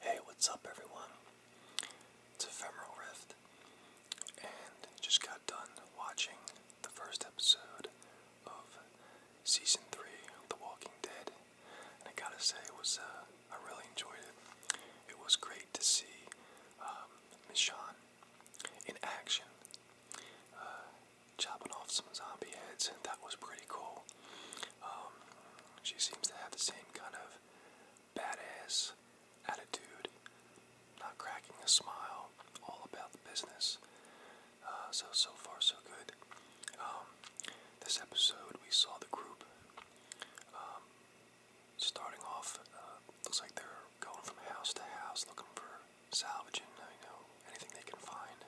Hey, what's up, everyone? It's Ephemeral Rift, and just got done watching the first episode of season three of The Walking Dead, and I gotta say, it was uh, I really enjoyed it. It was great to see um, Michonne in action, uh, chopping off some zombie heads. and That was pretty cool. Um, she seems to have the same kind of badass attitude, not cracking a smile, all about the business. Uh, so, so far, so good. Um, this episode, we saw the group um, starting off. Uh, looks like they're going from house to house looking for salvaging. you know anything they can find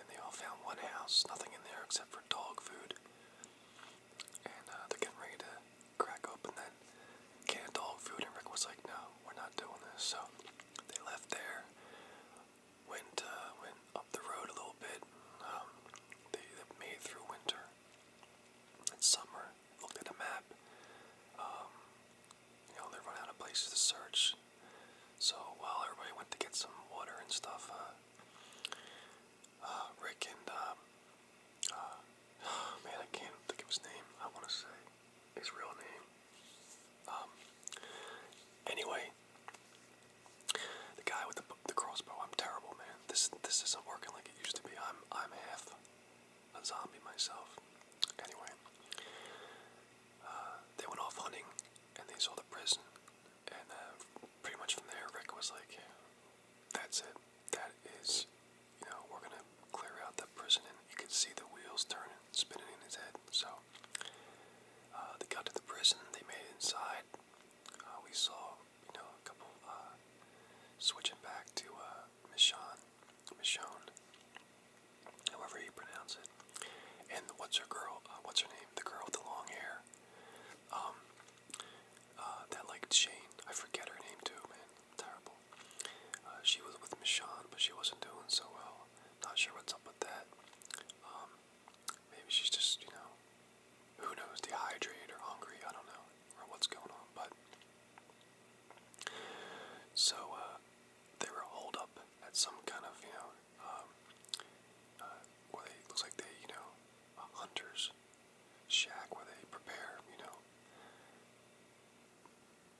and they all found one house, nothing in there except for dog food. And uh, they're getting ready to crack open that can dog food, and Rick was like, "No, we're not doing this." So they left there, went uh, went up the road a little bit. Um, they, made through winter and summer. Looked at a map. Um, you know, they run out of places to search. So while everybody went to get some water and stuff, uh, uh, Rick and, um, uh, man, I can't think of his name. I want to say his real name. Um, anyway, the guy with the, the crossbow. I'm terrible, man. This this isn't working like it used to be. I'm I'm half a zombie myself. Anyway, uh, they went off hunting and they saw the prison, and uh, pretty much from there, Rick was like, "That's it. That is, you know, we're gonna clear out the prison." And you could see the wheels turning, spinning in his head. So uh, they got to the prison. They made inside. we saw, you know, a couple switching back to Michonne Michonne, however you pronounce it, and what's her girl? Uh, what's her name? The girl with the long hair. Um, uh, that liked Shane. I forget her name too, man. Terrible. Uh, she was with Michonne, but she wasn't doing so well. Not sure what's up with that. Um, maybe she's just, you know, who knows, dehydrated or hungry. I don't know, or what's going on. But so uh, they were holed up at some kind of, you know, um, uh, where they looks like they, you know, a hunter's shack where they prepare, you know.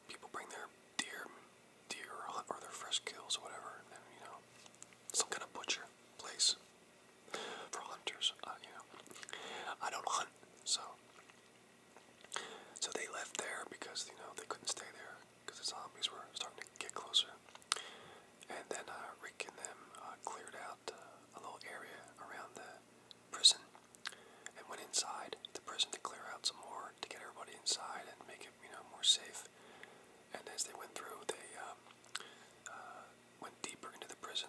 People bring their deer, deer or, or their fresh kills or whatever, and you know, some kind of butcher place for hunters. Uh, you know, I don't hunt, so so they left there because you know they couldn't stay there because the zombies were starting to get closer. And then uh, Rick and them uh, cleared out uh, a little area around the prison and went inside the prison to clear out some more to get everybody inside and make it you know more safe. And as they went through, they um, uh, went deeper into the prison,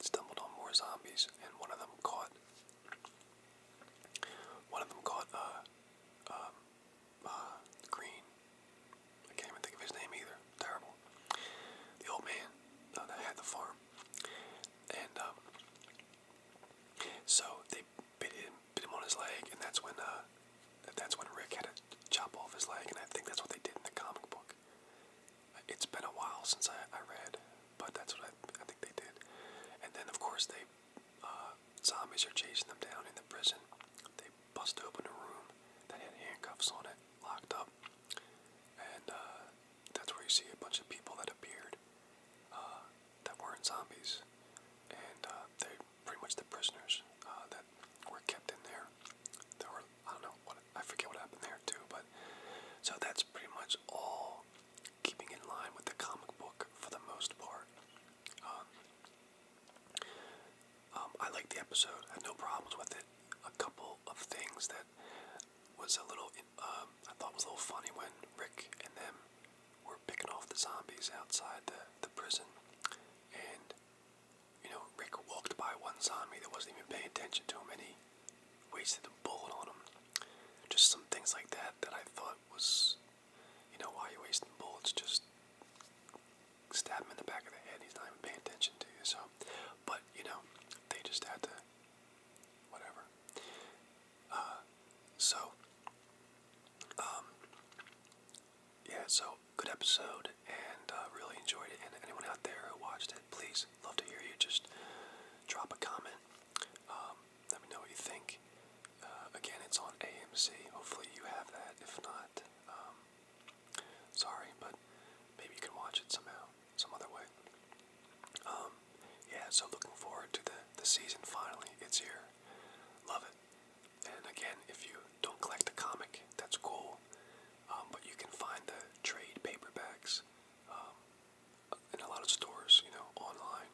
stumbled on more zombies, and one of them caught. One of them caught uh, um, uh, Green. I can't even think of his name either. Terrible. The old man uh, that had the farm, and um, so they bit him, bit him on his leg, and that's when uh, that's when Rick had a chop off his leg, and I think that's what they did in the comic book. It's been a while since I, read, but that's what I, think they did. And then, of course, they uh, zombies are chasing them down in the prison. They bust open a room that had handcuffs on it, locked up, and uh, that's where you see a bunch of people that appeared uh, that weren't zombies, and they pretty much the prisoners uh, that were kept in there. There were I don't know what I forget what happened there too, but so that's pretty much all keeping in line with the comic book for the most part. Um, um, I like the episode. I had no problems with it. A couple of things that was a little um, I thought was a little funny when Rick and them we're picking off the zombies outside the, the prison. And, you know, Rick walked by one zombie that wasn't even paying attention to him and he wasted a bullet on him. Just some things like that that I thought was, you know, why you wasting bullets? Just stab him in the back of the head. He's not even paying attention to you. So, but, you know, they just had to, whatever. Uh, so, um, yeah, so good episode, and uh, really enjoyed it. And anyone out there who watched it, please, love to hear you. Just drop a comment. Um, let me know what you think. Uh, again, it's on AMC. Hopefully, you have that. If not, um, sorry, but maybe you can watch it somehow, some other way. Um, yeah, so looking forward to the, the season finally. It's here. Love it. And again, if you don't collect the comic, that's cool. Um, but you can find the trade paperbacks um, in a lot of stores, you know, online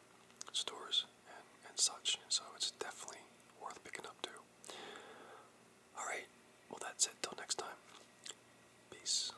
stores and, and such. So it's definitely worth picking up too. Alright, well, that's it. Till next time. Peace.